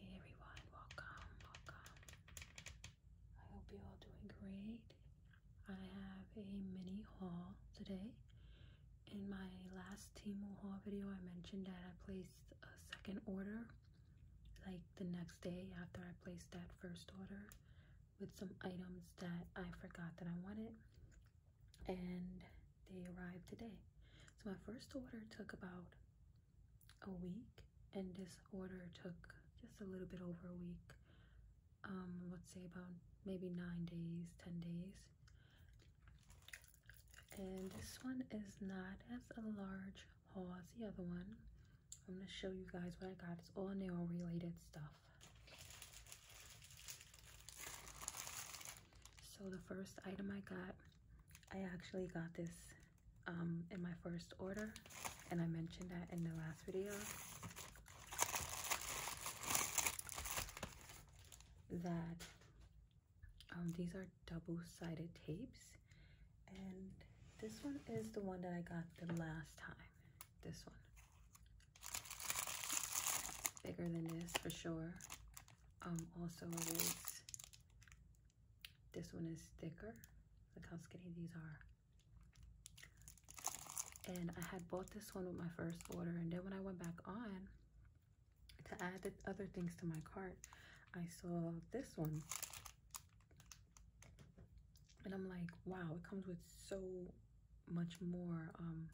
Hey everyone, welcome, welcome. I hope you're all doing great. I have a mini haul today. In my last team haul video, I mentioned that I placed a second order like the next day after I placed that first order with some items that I forgot that I wanted. And they arrived today. So my first order took about a week and this order took just a little bit over a week. Um, let's say about maybe nine days, 10 days. And this one is not as a large haul as the other one. I'm gonna show you guys what I got. It's all nail related stuff. So the first item I got I actually got this um, in my first order, and I mentioned that in the last video. That um, these are double-sided tapes, and this one is the one that I got the last time. This one. Bigger than this for sure. Um, also, it is this one is thicker. Look how skinny these are. And I had bought this one with my first order. And then when I went back on to add other things to my cart, I saw this one. And I'm like, wow, it comes with so much more um,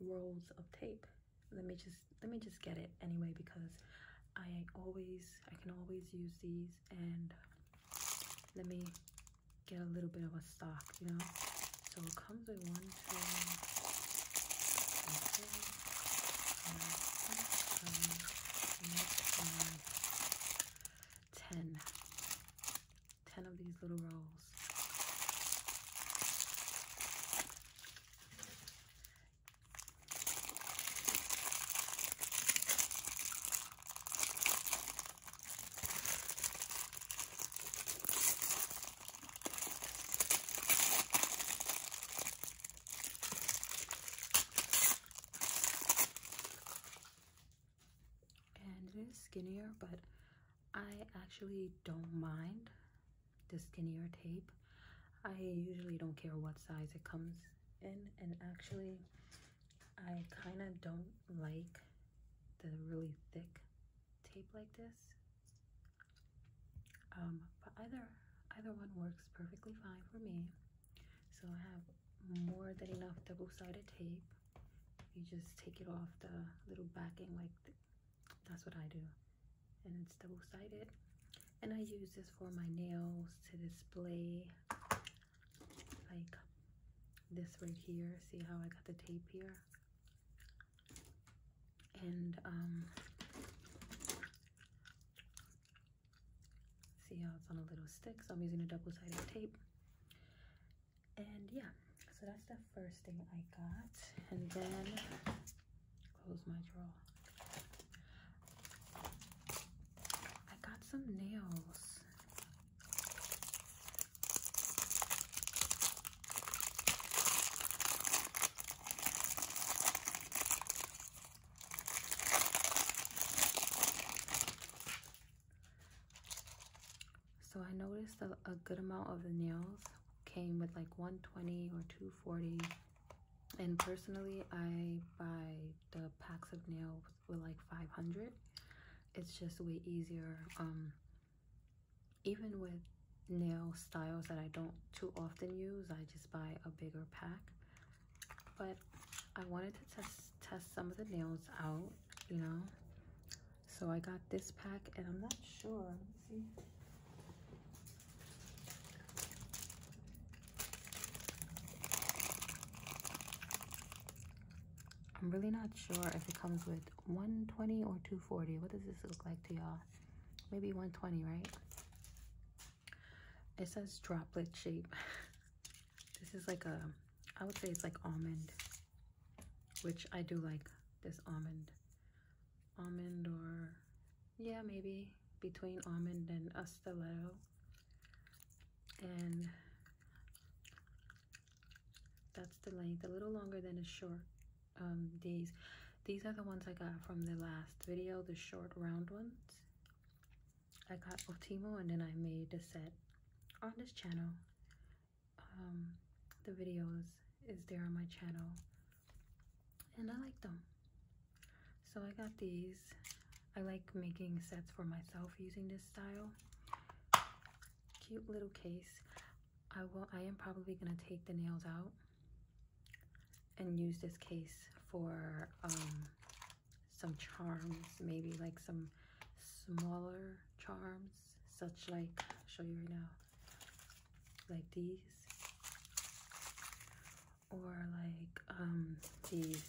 rolls of tape let me just let me just get it anyway because I always I can always use these and let me get a little bit of a stock you know so it comes with one two three, four, five, six, seven, eight, nine, 10 of these little rolls and it is skinnier, but I actually don't mind the skinnier tape i usually don't care what size it comes in and actually i kind of don't like the really thick tape like this um, but either either one works perfectly fine for me so i have more than enough double-sided tape you just take it off the little backing like that's what i do and it's double-sided and I use this for my nails to display like this right here see how I got the tape here and um see how it's on a little stick so I'm using a double-sided tape and yeah so that's the first thing I got and then close my drawer. I got some nails. So I noticed a, a good amount of the nails came with like 120 or 240 and personally i buy the packs of nails with like 500 it's just way easier um, even with nail styles that i don't too often use i just buy a bigger pack but i wanted to test test some of the nails out you know so i got this pack and i'm not sure Let's see I'm really not sure if it comes with 120 or 240. What does this look like to y'all? Maybe 120, right? It says droplet shape. this is like a, I would say it's like almond, which I do like this almond. Almond or yeah, maybe between almond and a stiletto. And that's the length, a little longer than a short These, um, These are the ones I got from the last video, the short round ones. I got Otimo and then I made a set on this channel. Um, the videos is there on my channel and I like them. So I got these. I like making sets for myself using this style. Cute little case. I will I am probably gonna take the nails out and use this case for um, some charms, maybe like some smaller charms, such like, I'll show you right now, like these or like um, these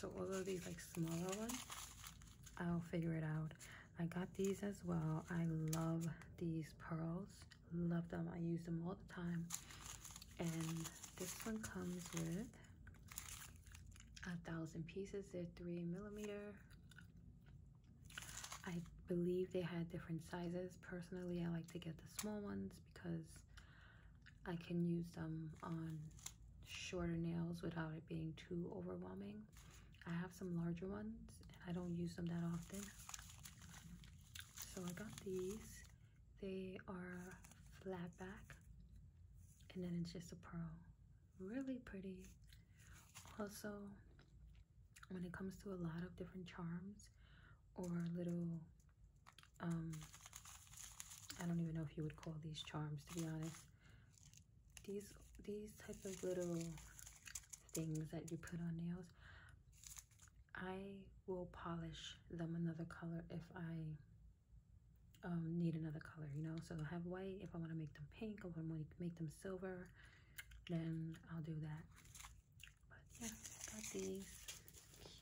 so all of these like smaller ones I'll figure it out I got these as well I love these pearls love them I use them all the time and this one comes with a thousand pieces they're three millimeter I believe they had different sizes. Personally, I like to get the small ones because I can use them on shorter nails without it being too overwhelming. I have some larger ones and I don't use them that often. So I got these. They are flat back and then it's just a pearl. Really pretty. Also, when it comes to a lot of different charms or little um i don't even know if you would call these charms to be honest these these type of little things that you put on nails i will polish them another color if i um, need another color you know so i have white if i want to make them pink i want to make them silver then I'll do that. But yeah, got these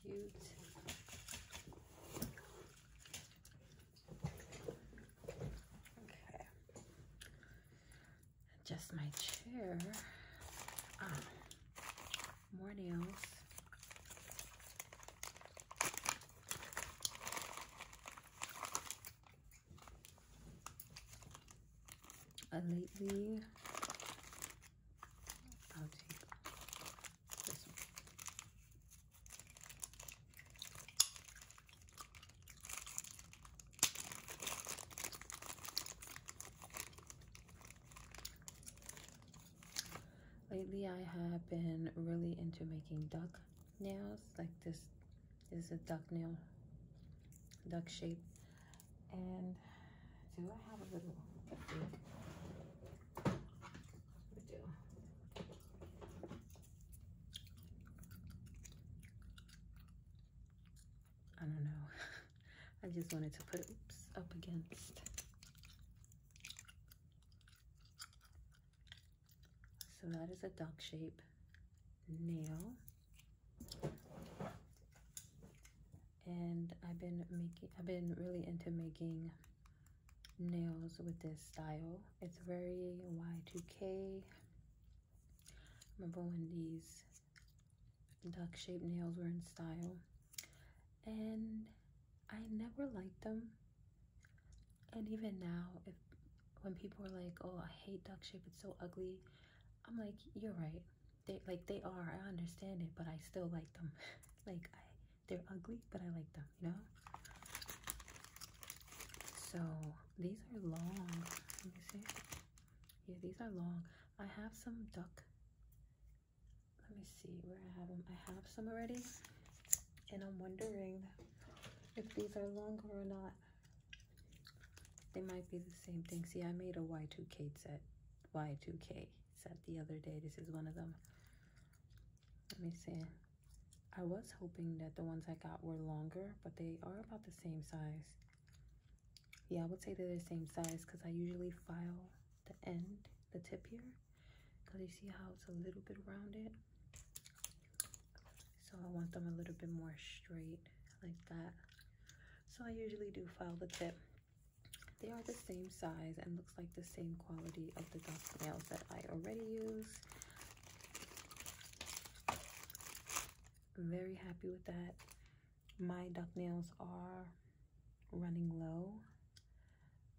cute. Okay. Adjust my chair. Ah, more nails lately, Lately, I have been really into making duck nails, like this this is a duck nail, duck shape. And do I have a little, I do. I don't know. I just wanted to put it oops, up against. So that is a duck shape nail and I've been making I've been really into making nails with this style it's very y2k remember when these duck shaped nails were in style and I never liked them and even now if when people are like, "Oh, I hate duck shape. It's so ugly." I'm like, "You're right. They like they are. I understand it, but I still like them. like I, they're ugly, but I like them. You know." So these are long. Let me see. Yeah, these are long. I have some duck. Let me see where I have them. I have some already, and I'm wondering if these are longer or not. They might be the same thing. See, I made a Y2K set, Y2K set the other day. This is one of them. Let me see. I was hoping that the ones I got were longer, but they are about the same size. Yeah, I would say they're the same size because I usually file the end, the tip here, because you see how it's a little bit rounded so I want them a little bit more straight like that so I usually do file the tip they are the same size and looks like the same quality of the duck nails that I already use very happy with that my duck nails are running low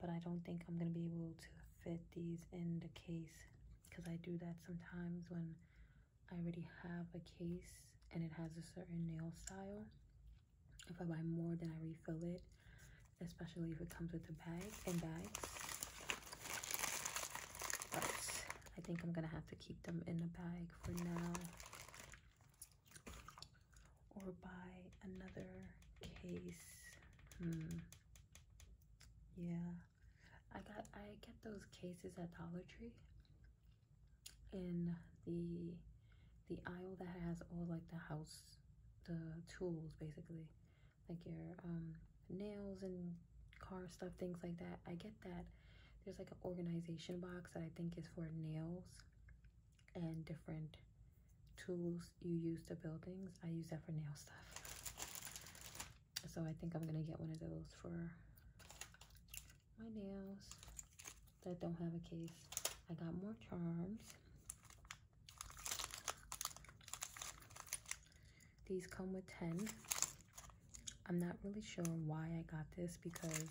but I don't think I'm gonna be able to fit these in the case because I do that sometimes when I already have a case and it has a certain nail style. If I buy more, then I refill it, especially if it comes with a bag and bags. But I think I'm gonna have to keep them in a bag for now or buy another case. Hmm. Yeah. I got I get those cases at Dollar Tree in the the aisle that has all like the house the tools basically like your um, nails and car stuff things like that I get that there's like an organization box that I think is for nails and different tools you use to build things I use that for nail stuff so I think I'm gonna get one of those for my nails that don't have a case. I got more charms. These come with 10. I'm not really sure why I got this because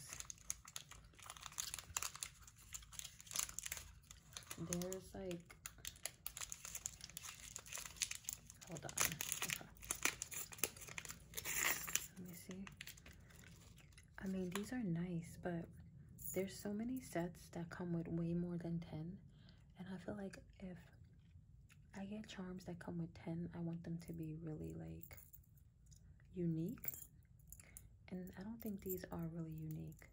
there's like Hold on. Let me see. I mean, these are nice, but there's so many sets that come with way more than 10. And I feel like if I get charms that come with 10, I want them to be really like unique. And I don't think these are really unique.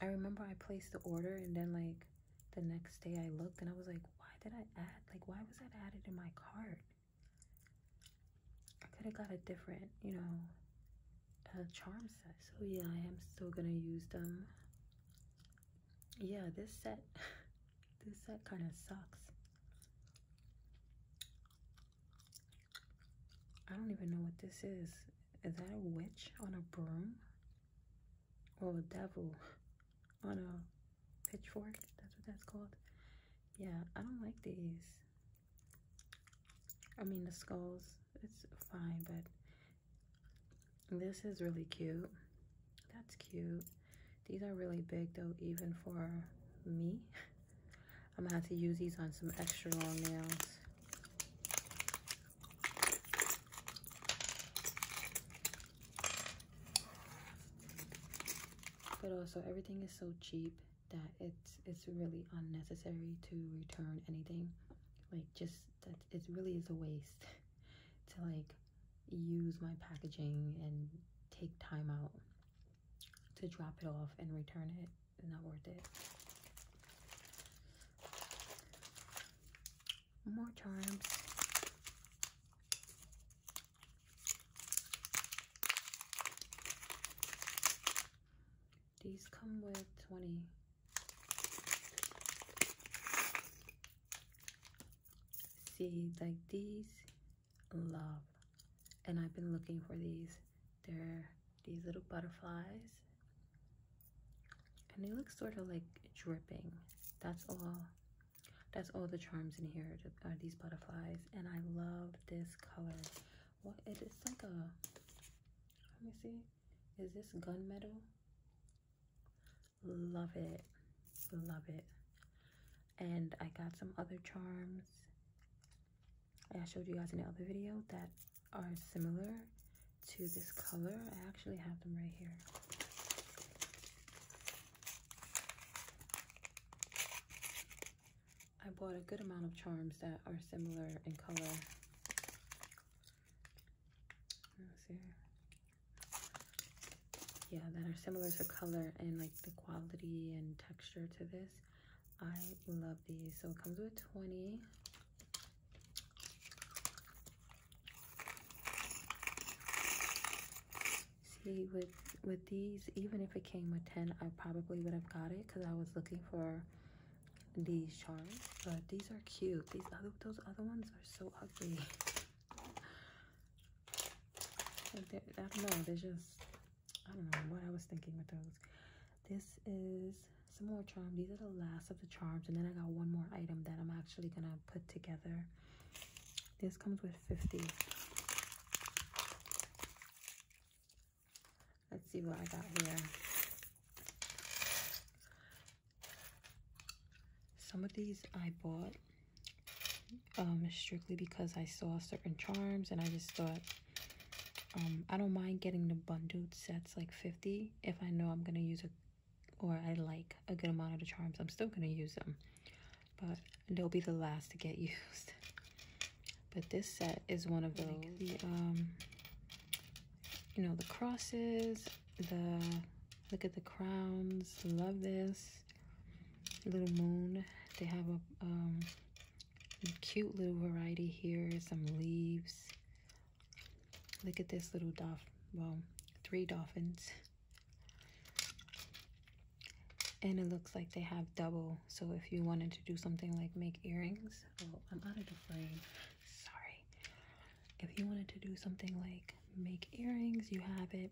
I remember I placed the order and then like the next day I looked and I was like, why did I add? Like, why was that added in my cart? I could have got a different, you know, charm set. So yeah, I am still gonna use them. Yeah, this set, this set kind of sucks. I don't even know what this is. Is that a witch on a broom? Or a devil on a pitchfork that's what that's called yeah i don't like these i mean the skulls it's fine but this is really cute that's cute these are really big though even for me i'm gonna have to use these on some extra long nails but also everything is so cheap that it's it's really unnecessary to return anything. Like just that it really is a waste to like use my packaging and take time out to drop it off and return it. It's not worth it. One more time. These come with 20. See, like these, love. And I've been looking for these. They're these little butterflies. And they look sort of like dripping. That's all that's all the charms in here are these butterflies and i love this color what it is like a let me see is this gunmetal love it love it and i got some other charms i showed you guys in the other video that are similar to this color i actually have them right here I bought a good amount of charms that are similar in color. Yeah, that are similar in color and like the quality and texture to this. I love these. So it comes with 20 see with with these even if it came with 10 i probably would have got it because i was looking for these charms but these are cute these other those other ones are so ugly like i don't know they're just i don't know what i was thinking with those this is some more charms these are the last of the charms and then i got one more item that i'm actually gonna put together this comes with 50. Let's see what I got here. Some of these I bought um, strictly because I saw certain charms and I just thought um, I don't mind getting the bundled sets like 50 if I know I'm going to use a or I like a good amount of the charms, I'm still going to use them. But they'll be the last to get used. But this set is one of those. the, um, you know, the crosses, the, look at the crowns. Love this. Little moon. They have a um, cute little variety here. Some leaves. Look at this little dolphin. Well, three dolphins and it looks like they have double so if you wanted to do something like make earrings oh i'm out of the frame sorry if you wanted to do something like make earrings you have it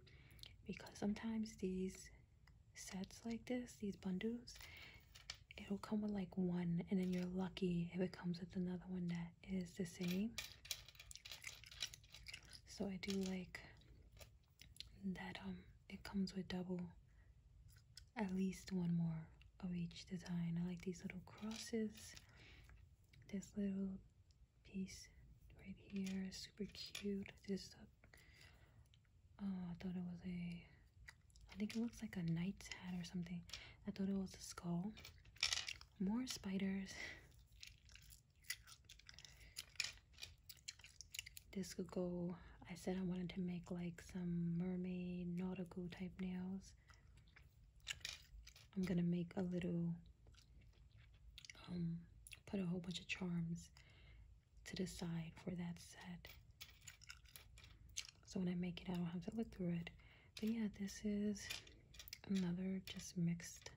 because sometimes these sets like this these bundles it'll come with like one and then you're lucky if it comes with another one that is the same so i do like that um it comes with double at least one more of each design. I like these little crosses. This little piece right here is super cute. This uh, oh, I thought it was a I think it looks like a knight's hat or something. I thought it was a skull. More spiders. This could go, I said I wanted to make like some mermaid nautical type nails. I'm gonna make a little, um, put a whole bunch of charms to the side for that set. So when I make it, I don't have to look through it. But yeah, this is another just mixed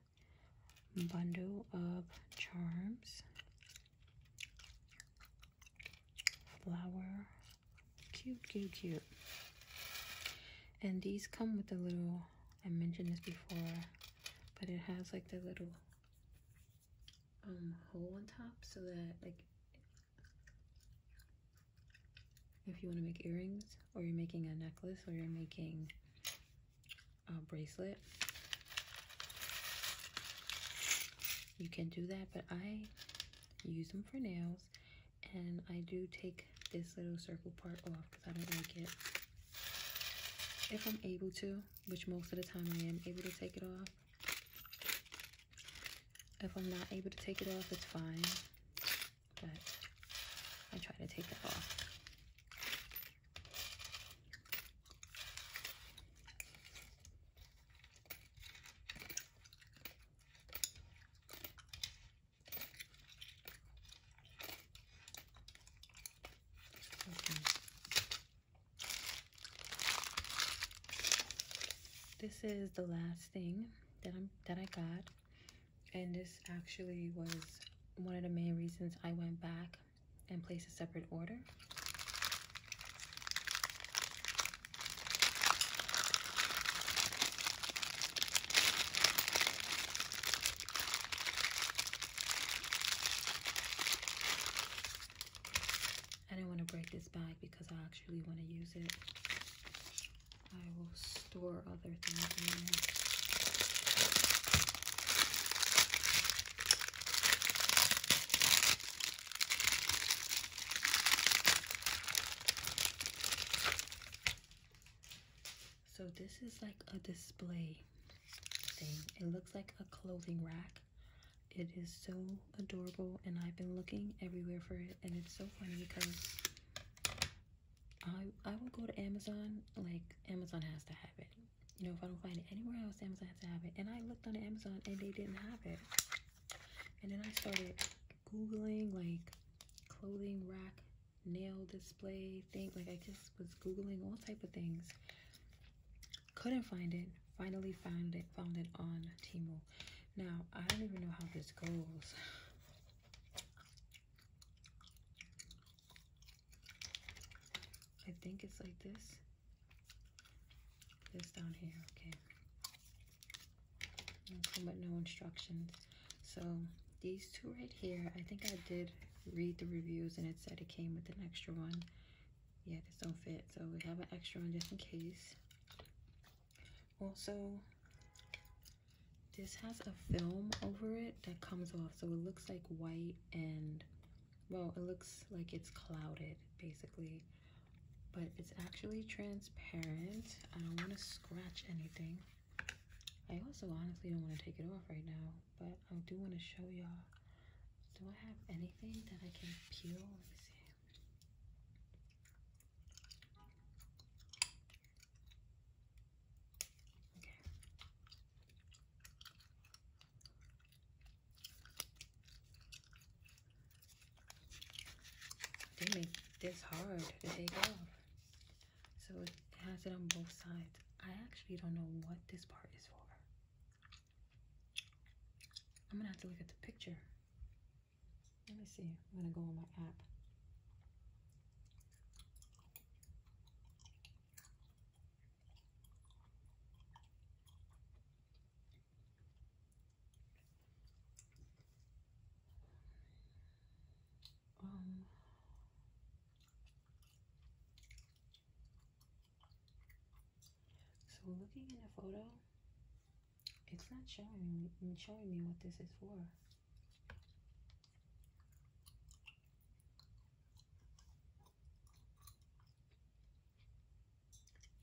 bundle of charms, flower, cute, cute, cute. And these come with a little, I mentioned this before, but it has like the little um, hole on top so that like if you want to make earrings or you're making a necklace or you're making bracelet. You can do that, but I use them for nails. And I do take this little circle part off because I don't like it. If I'm able to, which most of the time I am able to take it off. If I'm not able to take it off, it's fine. But I try to take it off this is the last thing that I'm that I got and this actually was one of the main reasons I went back and place a separate order. I do not want to break this bag because I actually want to use it. I will store other things in there. So this is like a display thing. It looks like a clothing rack. It is so adorable and I've been looking everywhere for it and it's so funny because I I will go to Amazon, like Amazon has to have it. You know, if I don't find it anywhere else, Amazon has to have it. And I looked on Amazon and they didn't have it. And then I started Googling like clothing rack nail display thing. Like I just was Googling all type of things. Couldn't find it. Finally found it, found it on Temu. Now, I don't even know how this goes. I think it's like this. This down here, okay. but no instructions. So these two right here, I think I did read the reviews and it said it came with an extra one. Yeah, this don't fit. So we have an extra one just in case. Also, this has a film over it that comes off. So it looks like white and well it looks like it's clouded basically but it's actually transparent i don't want to scratch anything i also honestly don't want to take it off right now but i do want to show y'all do i have anything that i can peel let me see they make this hard to take off. So it has it on both sides. I actually don't know what this part is for. I'm gonna have to look at the picture. Let me see. I'm gonna go on my app. Um, so looking in a photo, it's not showing showing me what this is for.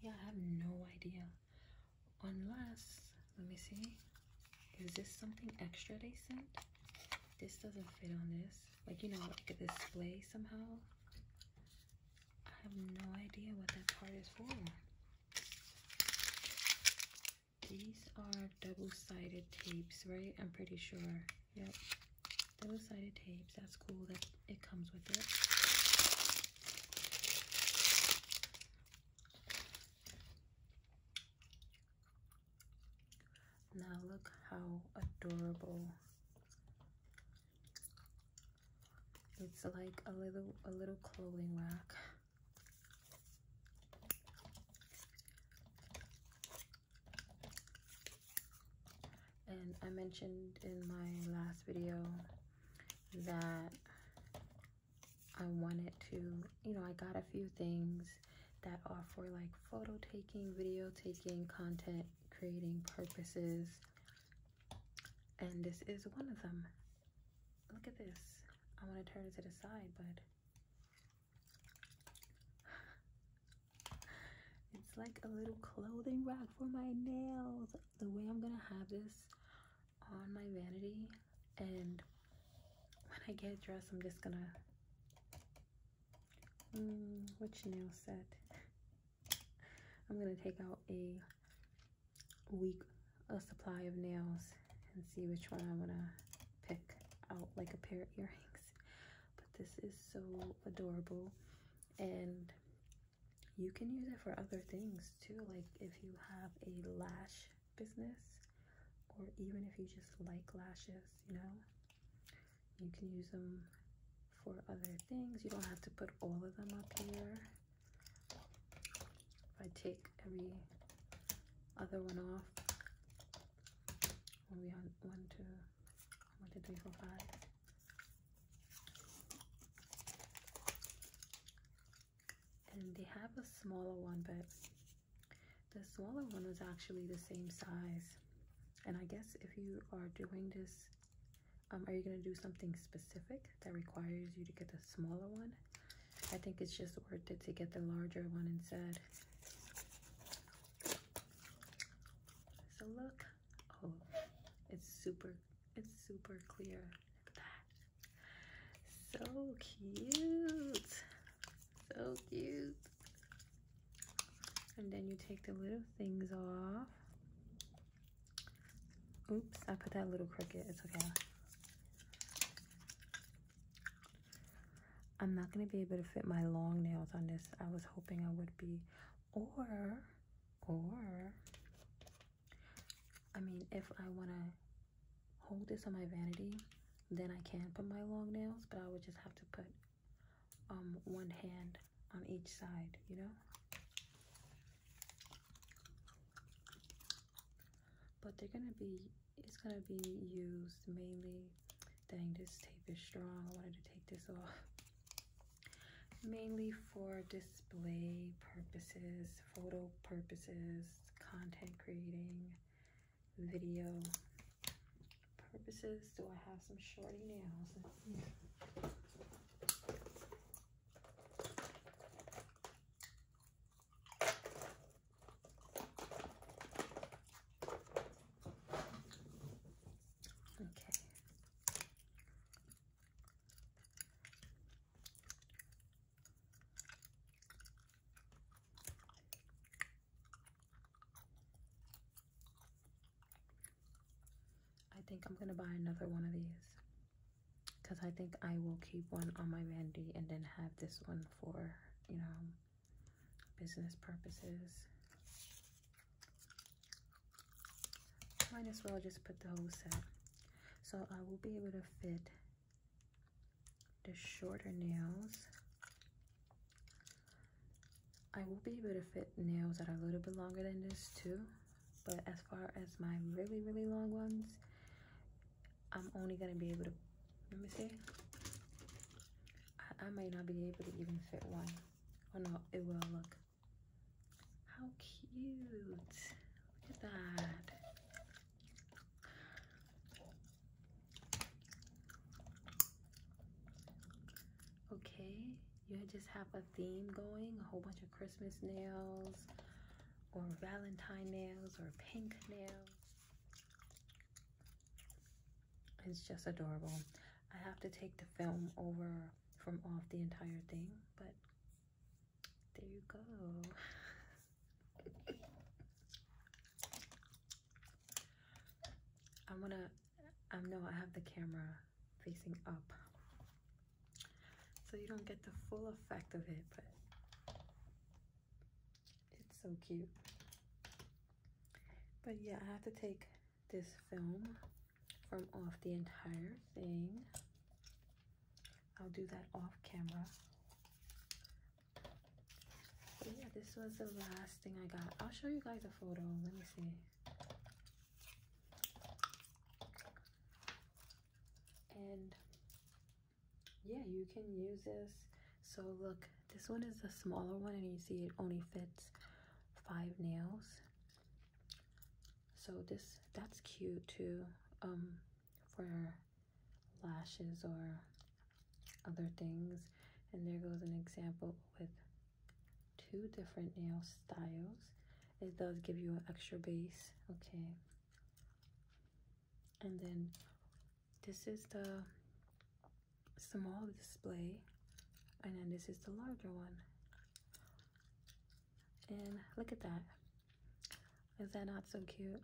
Yeah, I have no idea. Unless, let me see. Is this something extra they sent? This doesn't fit on this. Like, you know, like a display somehow. I have no idea what that part is for. These are double-sided tapes, right? I'm pretty sure. Yep. Double-sided tapes. That's cool that it comes with it. Now look how adorable. It's like a little a little clothing rack. And I mentioned in my last video that I wanted to, you know, I got a few things that are for like photo taking, video taking, content creating purposes. And this is one of them. Look at this. I want to turn it to the side, but it's like a little clothing rack for my nails. The way I'm gonna have this on my vanity, and when I get dressed, I'm just gonna. which nail set? I'm gonna take out a week a supply of nails and see which one I wanna pick out like a pair of earrings but this is so adorable and you can use it for other things too like if you have a lash business or even if you just like lashes you know you can use them for other things you don't have to put all of them up here if I take every other one off we want to one, two, three, four, five. And they have a smaller one, but the smaller one is actually the same size. And I guess if you are doing this, um, are you going to do something specific that requires you to get the smaller one? I think it's just worth it to get the larger one instead. So look, oh, it's super, it's super clear. So cute. So cute. And then you take the little things off. Oops, I put that little cricket. It's okay. I'm not going to be able to fit my long nails on this. I was hoping I would be. Or, or, I mean, if I want to hold this on my vanity, then I can put my long nails, but I would just have to put um, one hand on each side, you know? But they're going to be, it's going to be used mainly dang this tape is strong I wanted to take this off mainly for display purposes photo purposes content creating video purposes do I have some shorty nails Okay. I think I'm going to buy another one of these because I think I will keep one on my vanity and then have this one for, you know, business purposes. Might as well just put the whole set. So I will be able to fit the shorter nails. I will be able to fit nails that are a little bit longer than this too. But as far as my really, really long ones, I'm only going to be able to, let me see. I, I might not be able to even fit one. Oh no! it will look. How cute. Look at that. Okay, you just have a theme going, a whole bunch of Christmas nails, or Valentine nails, or pink nails. It's just adorable. I have to take the film over from off the entire thing, but there you go. I'm gonna, I know I have the camera facing up, so you don't get the full effect of it, but it's so cute. But yeah, I have to take this film from off the entire thing. I'll do that off camera. yeah, this was the last thing I got. I'll show you guys a photo. Let me see. And yeah, you can use this. So look, this one is the smaller one and you see it only fits five nails so this that's cute too um for lashes or other things and there goes an example with two different nail styles it does give you an extra base okay and then this is the small display and then this is the larger one and look at that is that not so cute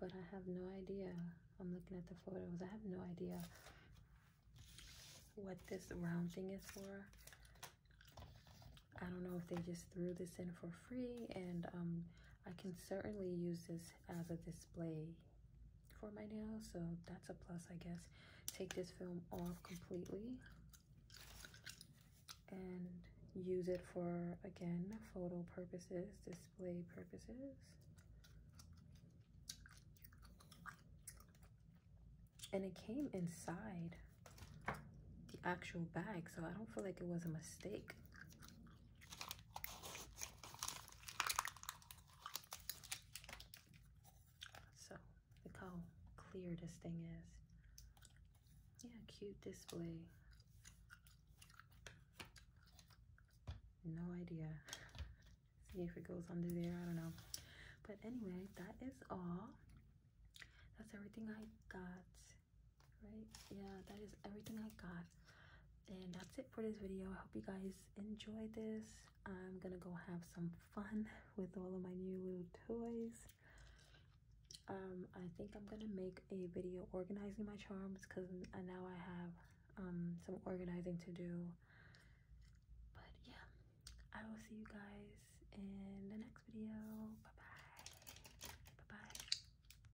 but I have no idea I'm looking at the photos I have no idea what this round thing is for I don't know if they just threw this in for free and um, I can certainly use this as a display for my nails so that's a plus i guess take this film off completely and use it for again photo purposes display purposes and it came inside the actual bag so i don't feel like it was a mistake so look how clear this thing is. Yeah, cute display. No idea. See if it goes under there, I don't know. But anyway, that is all. That's everything I got right yeah that is everything i got and that's it for this video i hope you guys enjoy this i'm gonna go have some fun with all of my new little toys um i think i'm gonna make a video organizing my charms because uh, now i have um some organizing to do but yeah i will see you guys in the next video bye bye bye bye